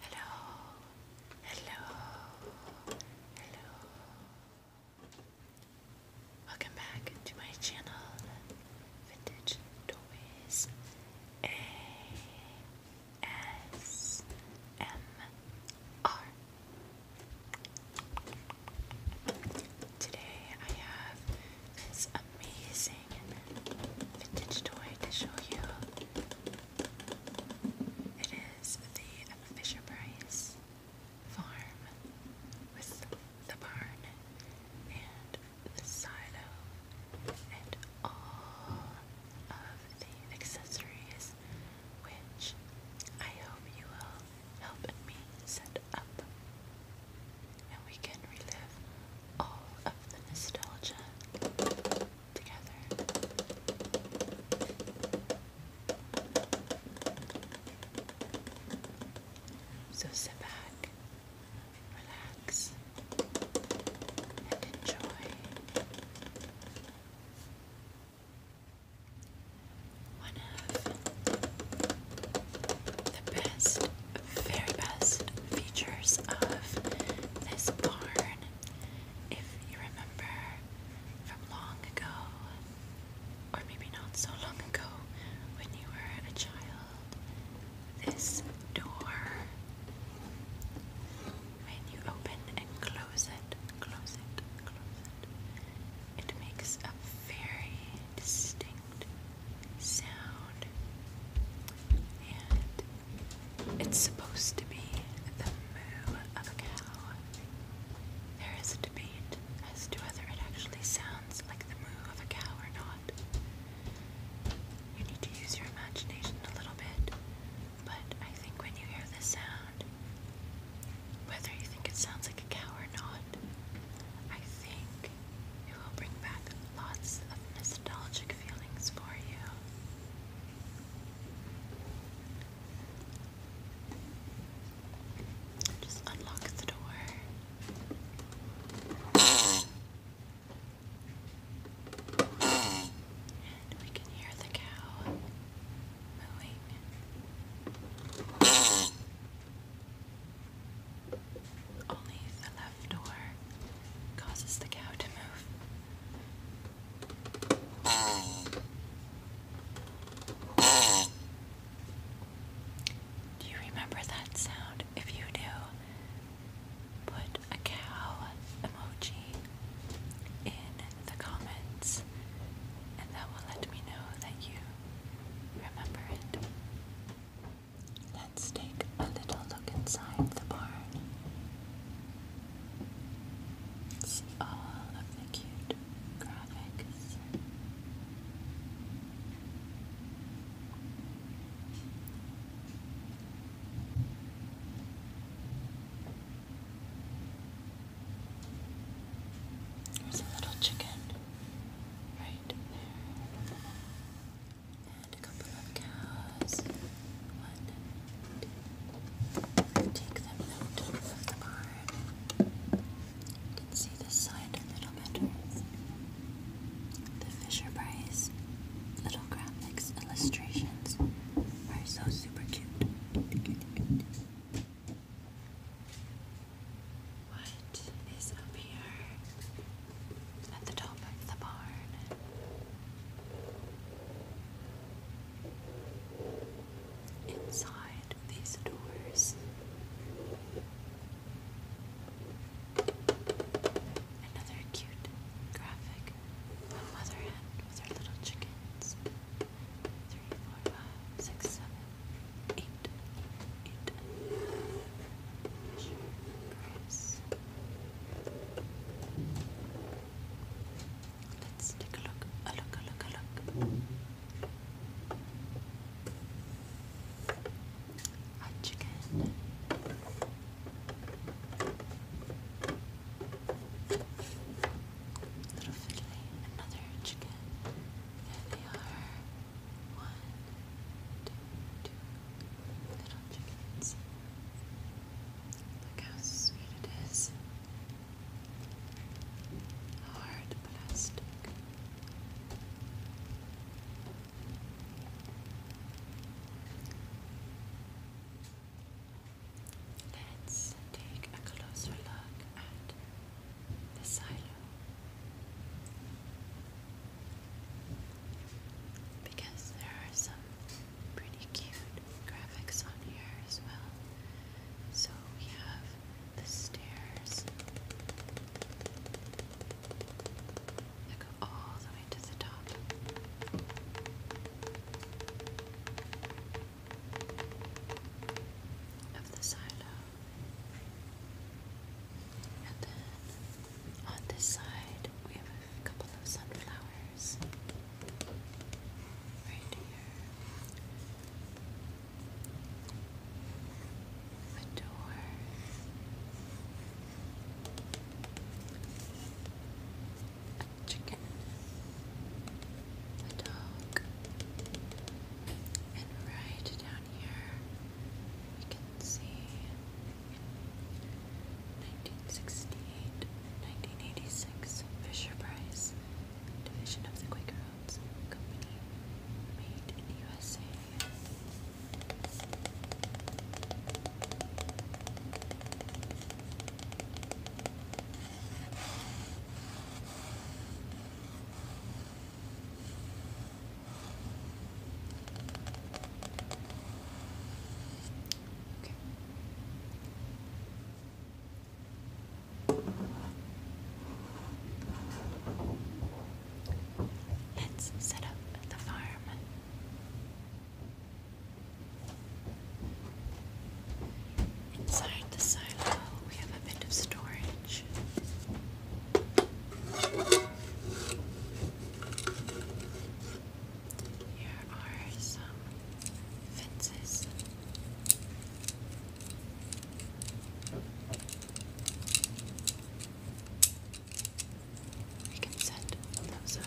Hello, hello, hello. Welcome back to my channel, Vintage Toys ASMR. Today I have it's amazing vintage toy to show you. It is the Fisher Price farm with the barn and the silo and all of the accessories, which I hope you will help me set up and we can relive all of the nostalgia together. So sit back, relax, and enjoy. One of the best very best features of this barn. If you remember from long ago, or maybe not so long ago, when you were a child, this door, when you open and close it, close it, close it, it makes a very distinct sound, it's supposed to be the moo of a cow. There is a debate as to whether it actually sounds like the moo of a cow or not. You need to use your imagination a little bit, but I think when you hear this sound, whether you think it sounds like a cow or not, I think it will bring back lots of nostalgic feelings for you. Just unlock the door. And we can hear the cow mooing. Only the left door causes the cow to move. Do you remember that sound? If you do, put a cow emoji in the comments, and that will let me know that you remember it. Let's take a little look inside the barn. See all of the cute graphics. There's a little chicken right there a couple of cows. One, take them out of the barn. see this side a little better. The Fisher Price little graphics illustrations are so super cute. What is up here? at the top of the barn. Inside these doors, another cute graphic a mother hen with her little chickens. Three, four, five, six, seven, eight, eight. Let's take a look, a look, a look, a look. Mm chicken. another chicken. There they are. One, two, two little chickens. Look how sweet it is. Hard plastic. Let's take a closer look at the silo. Because there are some pretty cute graphics on here as well. So we have the stairs that go all the way to the top. Of the silo, and then on this side, we have a couple of sunflowers right here. The door. A chicken. A dog. And right down here, we can see, 1968, 1986, Fisher Price, division of the Quaker Oats Company, made in the USA. Let's set up the farm. Inside the silo, we have a bit of storage. Here are some fences. We can set those up.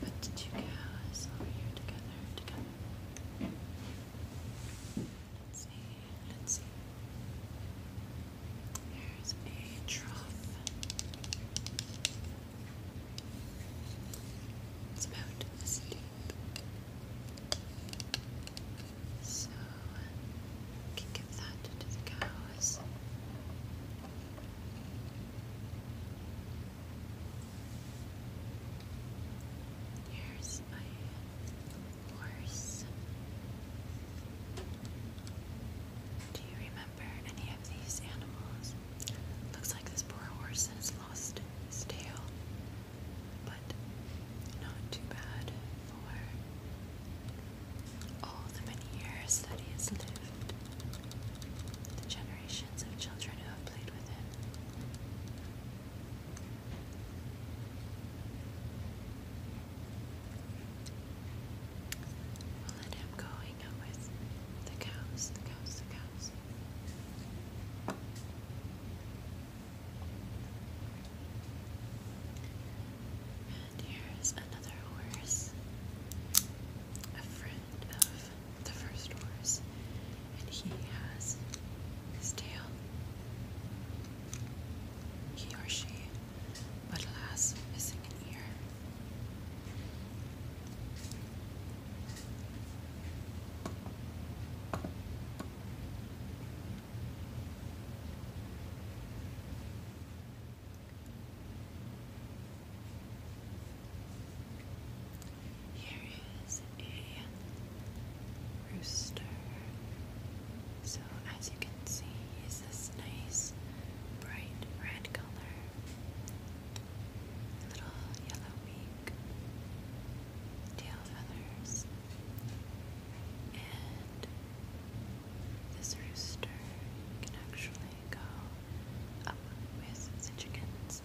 Put the two cows over here together, together. Let's see, let's see. There's a trough. It's about this deep. So can give that to the cows. Here's my horse. Do you remember any of these animals? Looks like this poor horse has lost its tail but not too bad for all the many years that he has lived, the generations of children who have played with him. will let him go hang out with the cows, the cows, the cows. And here's another horse, a friend of the first horse, and he has his tail. He or she, but alas, missing an ear. Here is a rooster. So, as you can see, he's this nice bright red color, little yellow tail feathers, and this rooster can actually go up with the chickens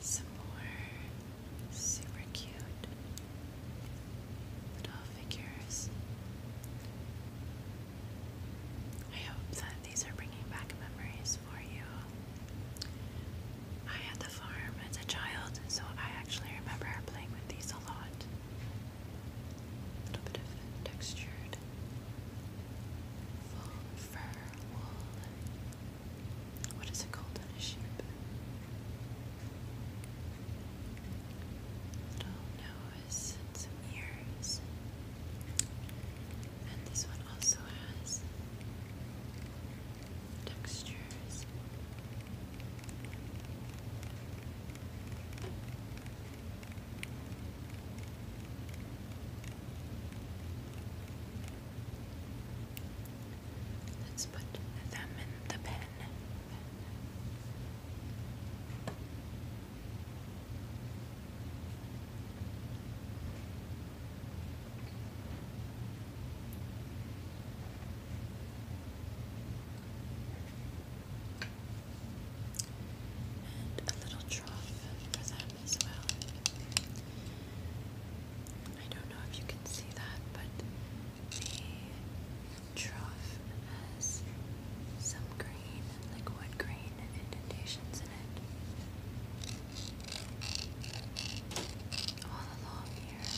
some more super cute little figures. I hope that these are bringing back memories for you. I had the farm as a child, so I actually remember playing with these a lot. A little bit of textured full fur wool what is it called a sheep? Little nose ears. And this one also has textures. Let's put them in the pen. And a little trough bottom I don't know if you can see that, but the trough some green, like wood grain indentations in it. All along here.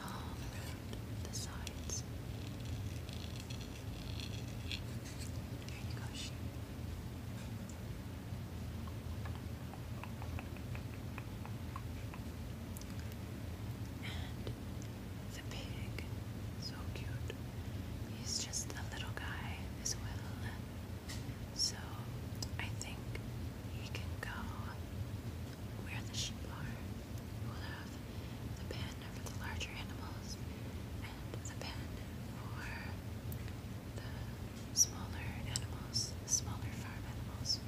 All around the sides the pig, so cute. He's just a little guy as well. So I think he can go where the sheep are the pen for the larger animals, and the pen for the smaller animals, smaller farm animals.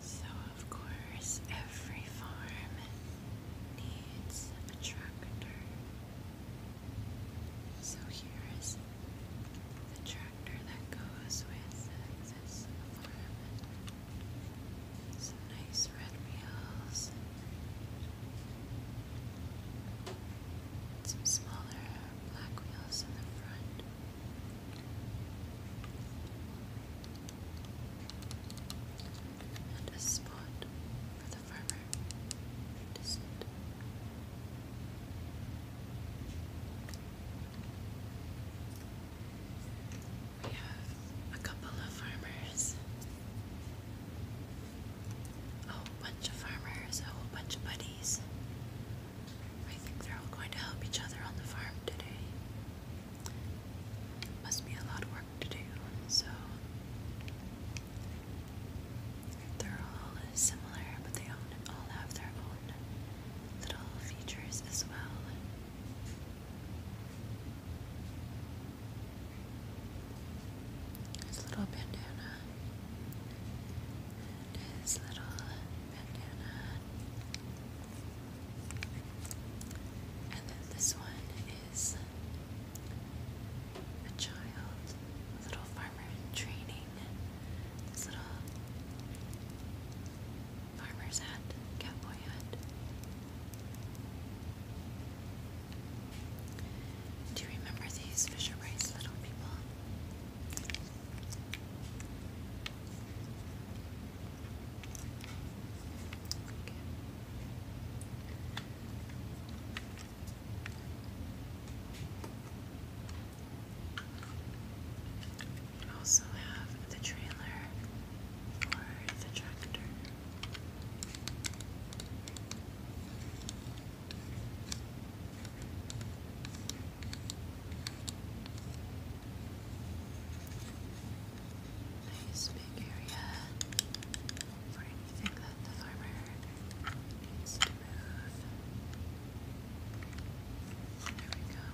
So, of course, every farm needs a tractor. So, here is the tractor that goes with this farm. Some nice red wheels, some smaller black wheels in the front and a spot for the farmer We have a couple of farmers, a bunch of farmers, a whole bunch of buddies. I think they're all going to help each other on the farm today. Must be a lot of work to do, so they're all similar, but they all have their own little features as well. His little bandana, his little bandana, and then this one is a child, little farmer training. This little farmer's hat, cowboy hat. Do you remember these Fisher Price little people? We also have the trailer for the tractor. Nice big area for anything that the farmer needs to move. There we go.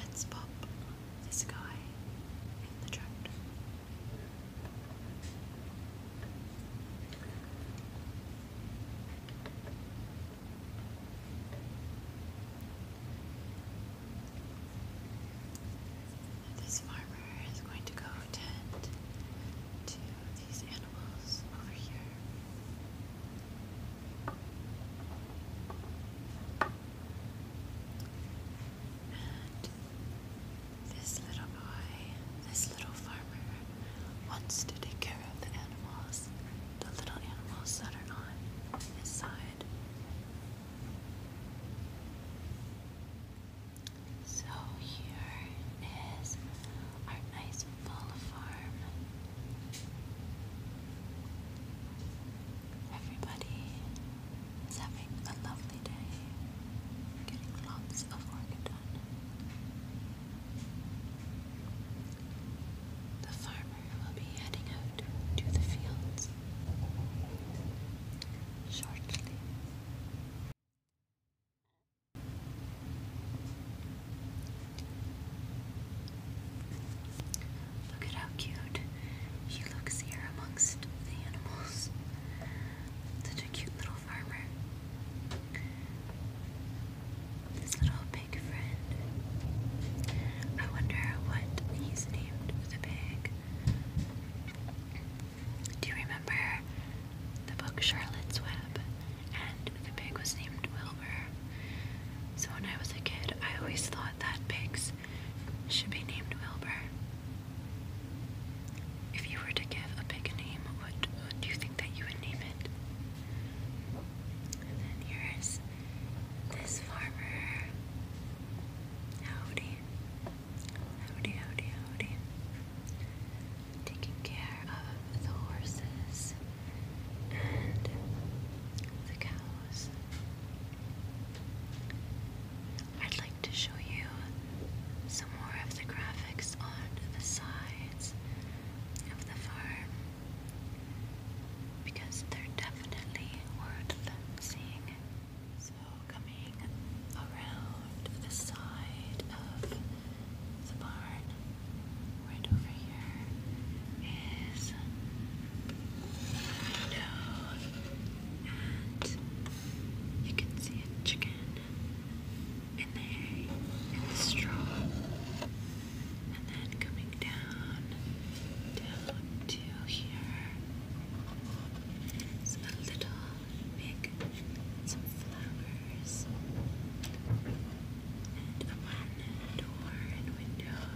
Let's pop this guy in the tractor. This farmer is going to go tend to these animals over here. This little boy, this little farmer, wants to take care of the animals, the little animals that are on his side. So here is our nice full farm. Everybody is having a lovely day, getting lots of work done. The farmer will be heading out to the fields shortly. Look at how cute she looks here amongst the animals a cute little farmer. This little pig friend. I wonder what he's named the pig. Do you remember the book Charlotte's Web? And the pig was named Wilbur. So when I was a kid, I always thought that pigs should be named Wilbur. If you were to give a pig a name, what, do you think that you would name it? And then here is this farmer. Howdy. Howdy, howdy, howdy. Taking care of the horses and the cows. I'd like to show you some more of the graphics on the sides of the farm because they're definitely worth seeing. So, coming around the side of the barn, right over here, is a window and you can see a chicken in the hay, and the straw. And then coming down, down to here is a little pig, some flowers, and a one door and window.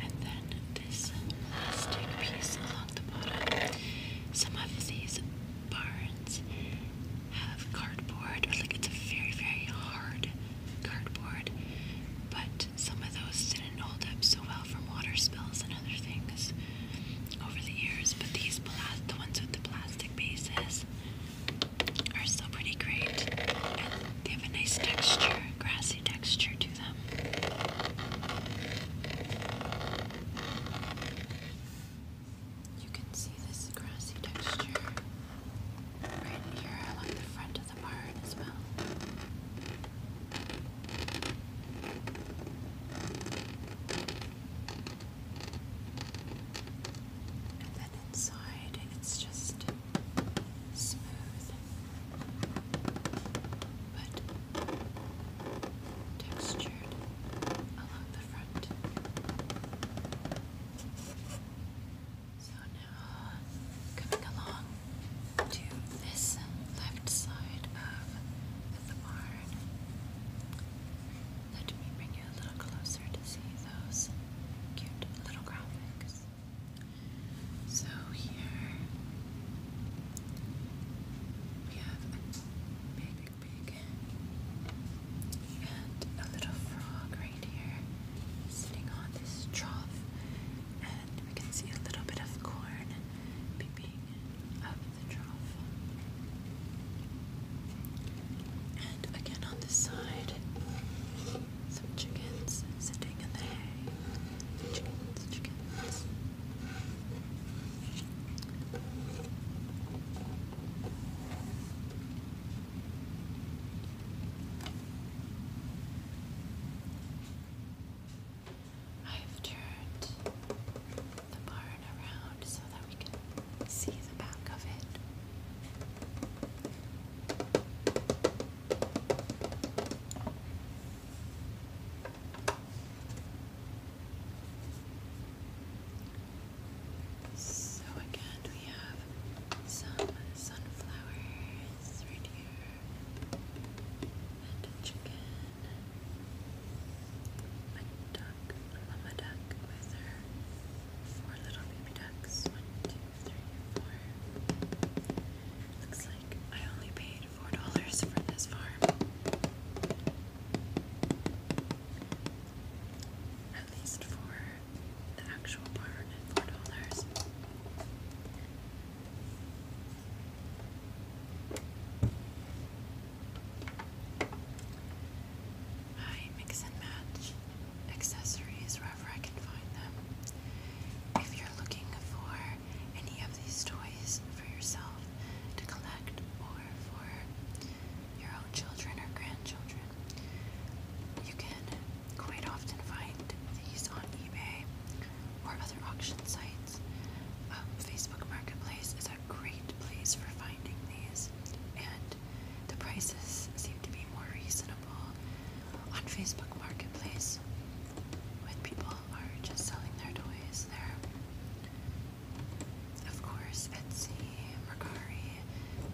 And then this plastic piece along the bottom. Some of these barns have cardboard, like it's a very, very hard cardboard, but some of those didn't hold up so well from water spills and other things over the years. But these, the ones with the plastic bases, are still pretty great. And they have a nice texture, grassy texture to them. You can see this grassy texture right here along the front of the barn as well. And then inside, it's just smooth, but textured along the front. So now, coming along to this left side of the barn, let me bring you a little closer to see those cute little graphics. So here we have a big pig and a little frog right here sitting on this trough and we can see a little bit of corn peeping out of the trough. And again on this side, some chickens sitting in the hay. Chickens, chickens. I've turned the barn around so that we can see the back of it. So again, we have some sunflowers right here, and a chicken, a duck, a mama duck with her four little baby ducks. One, two, three, four. Looks like I only paid four dollars for this farm. At least for the actual barn four dollars. I mix and match accessories wherever I can find them. If you're looking for any of these toys for yourself to collect or for your own children or grandchildren, you can quite often find these on eBay or other auction sites. Um, Facebook Marketplace is a great place for finding these and the prices seem to be more reasonable on Facebook Marketplace when people are just selling their toys there. Of course, Etsy, Mercari,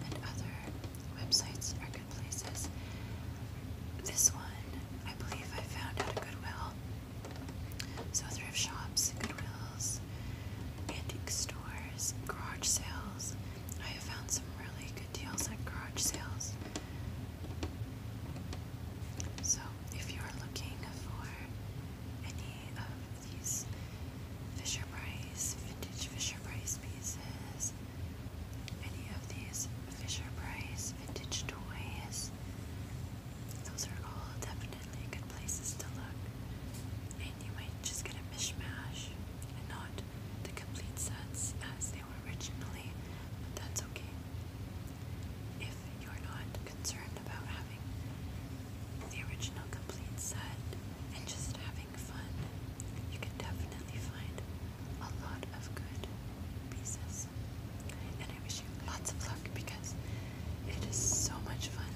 and other websites are good places. This one, I believe I found at a Goodwill. So, thrift shops, Goodwills, antique stores, garage sales. I have found some really good deals at garage sales. So, if you're looking for any of these Fisher Price, vintage Fisher Price pieces, any of these Fisher Price vintage toys, those are all definitely good places to look. And you might just get a mishmash and not the complete sets as they were originally, but that's okay. If you're not concerned about having the original complete set and just having fun, you can definitely find a lot of good pieces. And I wish you lots of luck because it is so much fun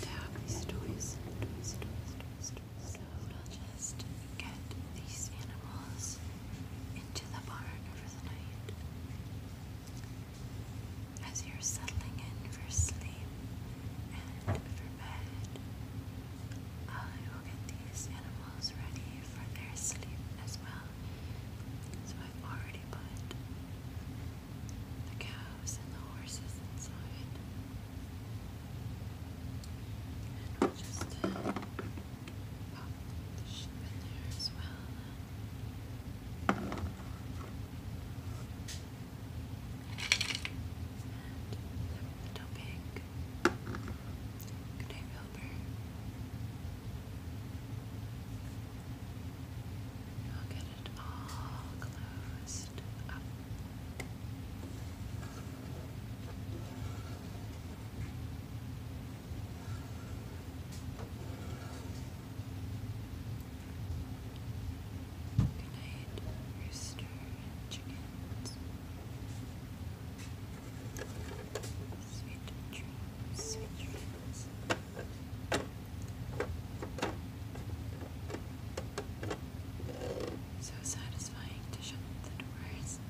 to have these toys, toys, toys, toys, toys. So we'll just get these animals into the barn for the night. As you're settling in for sleep and for bed, I will get these animals ready for their sleep as well. So I've already put the cow and the horses inside. And just uh, the sheep in there as well. And the little pig. Good day, Wilbur it all closed up. Good night, rooster and chickens. Sweet dreams, sweet dreams. So satisfying to shut the doors.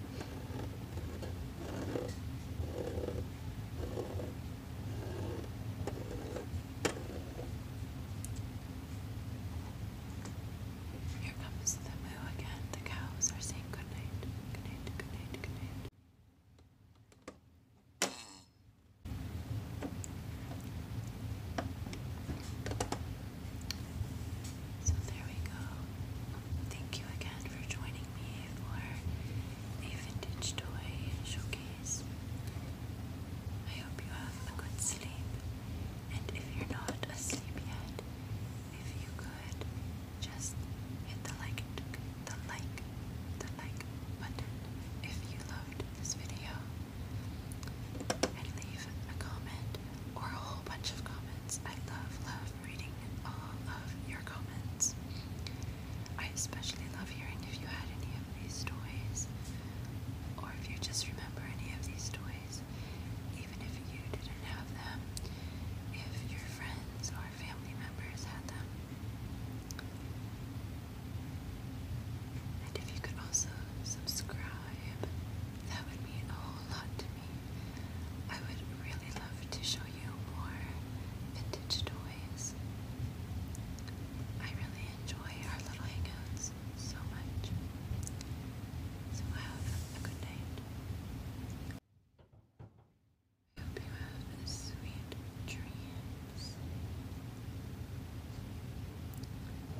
Here comes the moo again. The cows are saying good night. Good night, good night, good night. So there we go. Thank you again for joining me for a vintage toy showcase. I hope you have a good sleep. And if you're not asleep yet, if you could just hit the like, the like, the like button if you loved this video and leave a comment or a whole bunch of comments. I love, love reading all of your comments. I especially love hearing if you had any of these toys or if you just remember any of these toys, even if you didn't have them, if your friends or family members had them. And if you could also subscribe, that would mean a whole lot to me. I would really love to show you more vintage toys. I really enjoy our little hangouts so much. So have a good night. I hope you have a sweet dream.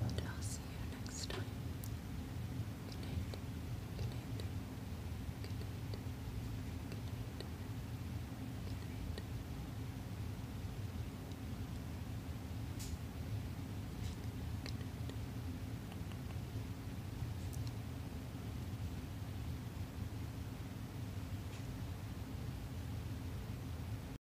And I'll see you next time. Good night. Good night. Good night. Good night.